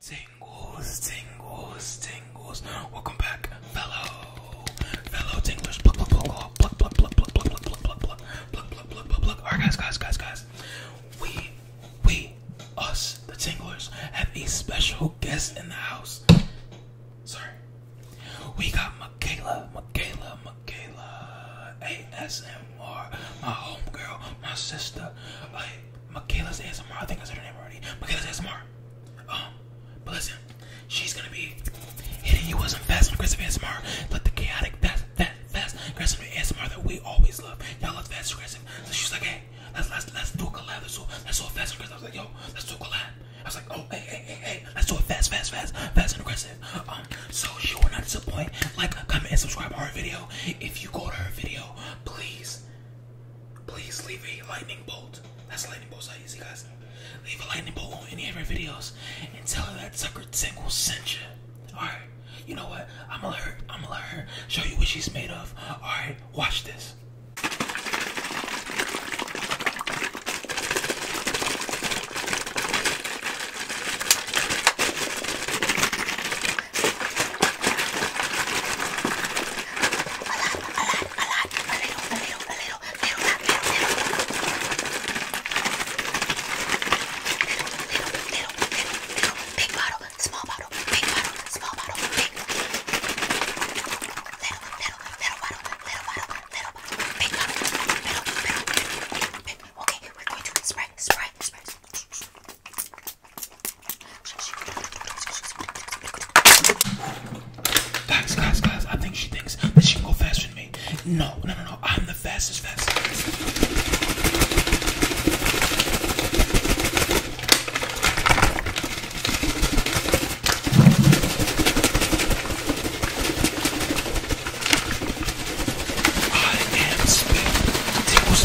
Tingles, tingles, tingles. Welcome back, fellow, fellow tinglers. Pluck, pluck, pluck, pluck, pluck, pluck, pluck, pluck, pluck, pluck, pluck, pluck, pluck, pluck, All right, guys, guys, guys, guys. We, we, us, the tinglers, have a special guest in the house. Sorry, we got Michaela, Michaela, Michaela, ASMR, my homegirl, my sister. Michaela's ASMR. I think I said her name already. Michaela's ASMR. Um, but listen, she's gonna be hitting you with some fast and aggressive ASMR, like the chaotic, fast, fast, fast, aggressive ASMR that we always love. Y'all love fast and aggressive. So she's like, hey, let's let's let's do a collab. Let's do let fast and aggressive. I was like, yo, let's do a collab. I was like, oh, hey, hey, hey, hey, let's do it fast, fast, fast, fast and aggressive. Um, so she will not disappoint. Like, comment, and subscribe to her video. If you go to her video, please please leave a lightning bolt. That's lightning bolts I use, you guys. Leave a lightning bolt on any of your videos and tell her that sucker Tingle sent you. Alright, you know what? I'm gonna let I'm gonna let her show you what she's made of. Alright, watch this. A lot, a lot, a lot, a little, a little, a little, little, lot, little, little, little, little, little, little, big bottle, small bottle, big bottle, small bottle, big, little, little, little bottle, little bottle, little bottle, big bottle, little, little, big, big. Okay, we're going to spray, spray, spray. Guys, guys, guys, I think she thinks that she can go faster than me. No, no, no, no, I'm the fastest, fastest. I am spit. Tickles,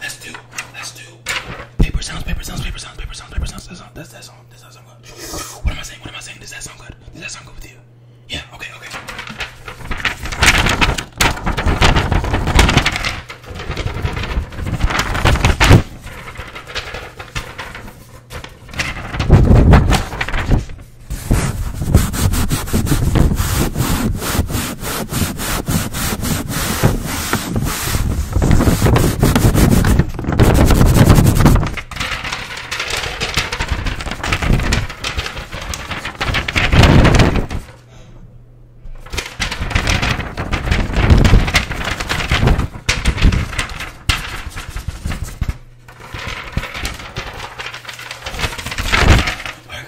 Let's do, let's do paper sounds, paper sounds, paper sounds, paper sounds, paper sounds. That sound, that sound, that sound good. What am I saying? What am I saying? Does that sound good? Does that sound good with you? Yeah, okay, okay. Alright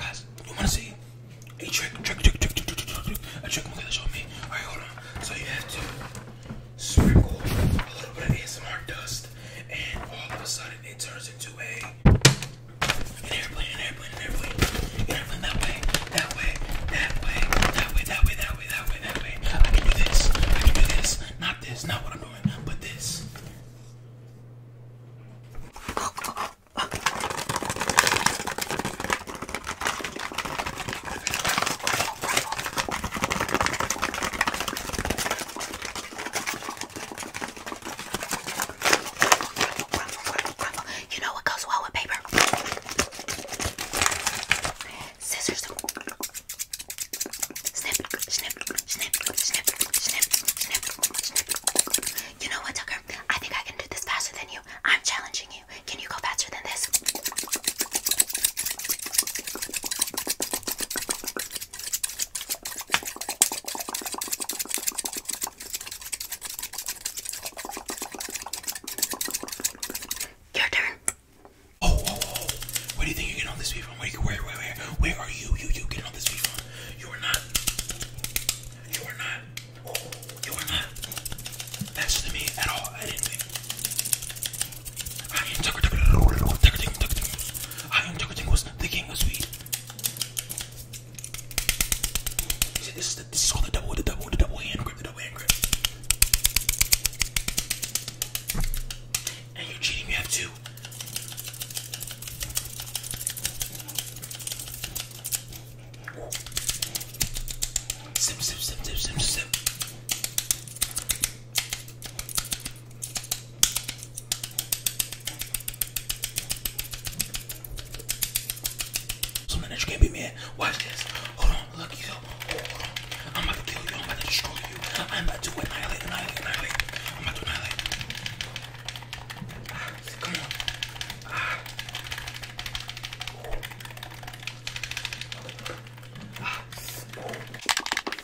guys, you wanna see a trick, trick, trick, trick, trick, trick, trick, a trick Malina showed me. Alright, hold on. So you have to sprinkle a little bit of ASMR dust and all of a sudden it turns turns airplane, airplane, airplane, airplane that way, that way, that way, that way, that way, that way, that way, that way. I can do this, I can do this, not this, not what I'm doing, but this. Ruffle, ruffle, ruffle. You know what goes well with paper? Scissors. Snip, snip, snip, snip, snip, snip, snip. You know what, Tucker? I think I can do this faster than you. I'm challenging you. Can you go faster than this? Your turn. Oh, oh, oh, oh. Where do you think you're getting all this beef from? Where, where, where, where? Where are you, you, you getting all this beef from? You are not. You are not. Oh, you are not. That's to me at all. I didn't. I didn't. I am Jaco Jingles, the king of sweet. See, this, is the, this is called the double, the double, the double hand grip, the double hand grip. And you're cheating, you have two. Sip, sip, sip, sip, sip, Something that you can't be mad. Watch this. Hold on, look yo. Hold on. I'm about to kill you. I'm about to destroy you. I'm about to annihilate, annihilate, annihilate. I'm about to annihilate. Ah, come on. Ah. Ah.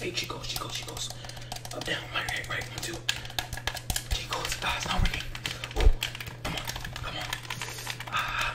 Hey, she goes, she goes, she goes. Up, down, right, right, right, one, two. She goes, ah, it's not working. Ooh, come on, come on. Ah.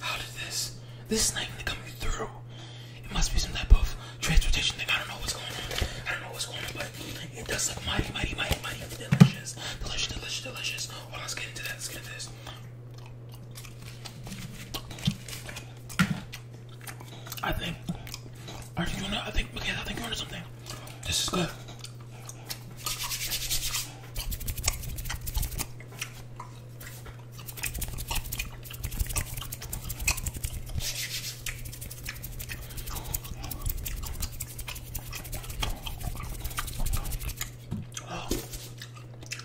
How did this? This is not even coming through. It must be some type of transportation thing. I don't know what's going on. I don't know what's going on, but it does look mighty, mighty, mighty, mighty delicious. Delicious, delicious, delicious. Hold on, let's get into that. Let's get into this. I think. Are you I think. Okay, I think you're onto something. This is good. Oh,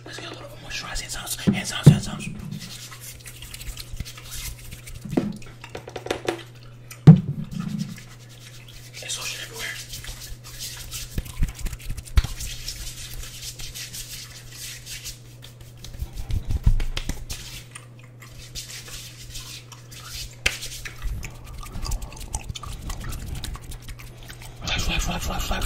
let's get a little bit more moisturizing. sounds, sounds, sounds. There's ocean everywhere. Relax, relax, relax, relax, relax. Relax.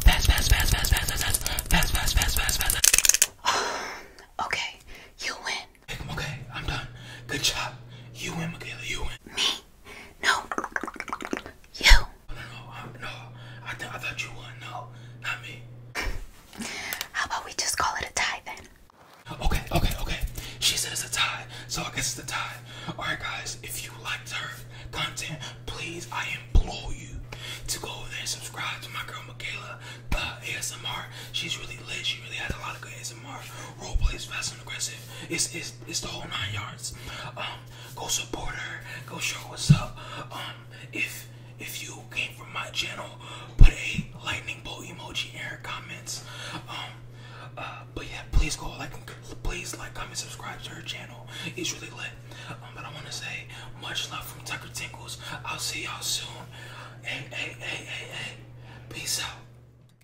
Fast, fast, fast, fast, fast, fast, fast, fast, fast, fast, fast. okay, you win. Okay, I'm done. Good job. You win, Michaela. You win. Me. No. You. No, no, no. I, I thought you won. No, not me. How about we just call it a tie then? Okay, okay, okay. She said it's a tie, so I guess it's a tie. Alright, guys, if you liked her content, please, I implore you to go over there and subscribe to my girl Michaela uh, ASMR. She's really lit. She really has a lot of good ASMR. Role plays fast and aggressive. It's, it's it's, the whole nine yards. Um, go support her. Go show what's up. Um, if if you came from my channel, put a lightning bolt emoji in her comments. Um, uh, but yeah, please go like, please like, comment, subscribe to her channel. It's really lit. but I want to say much love from Tucker Tinkles. I'll see y'all soon. Hey, hey, hey, hey, hey. Peace out.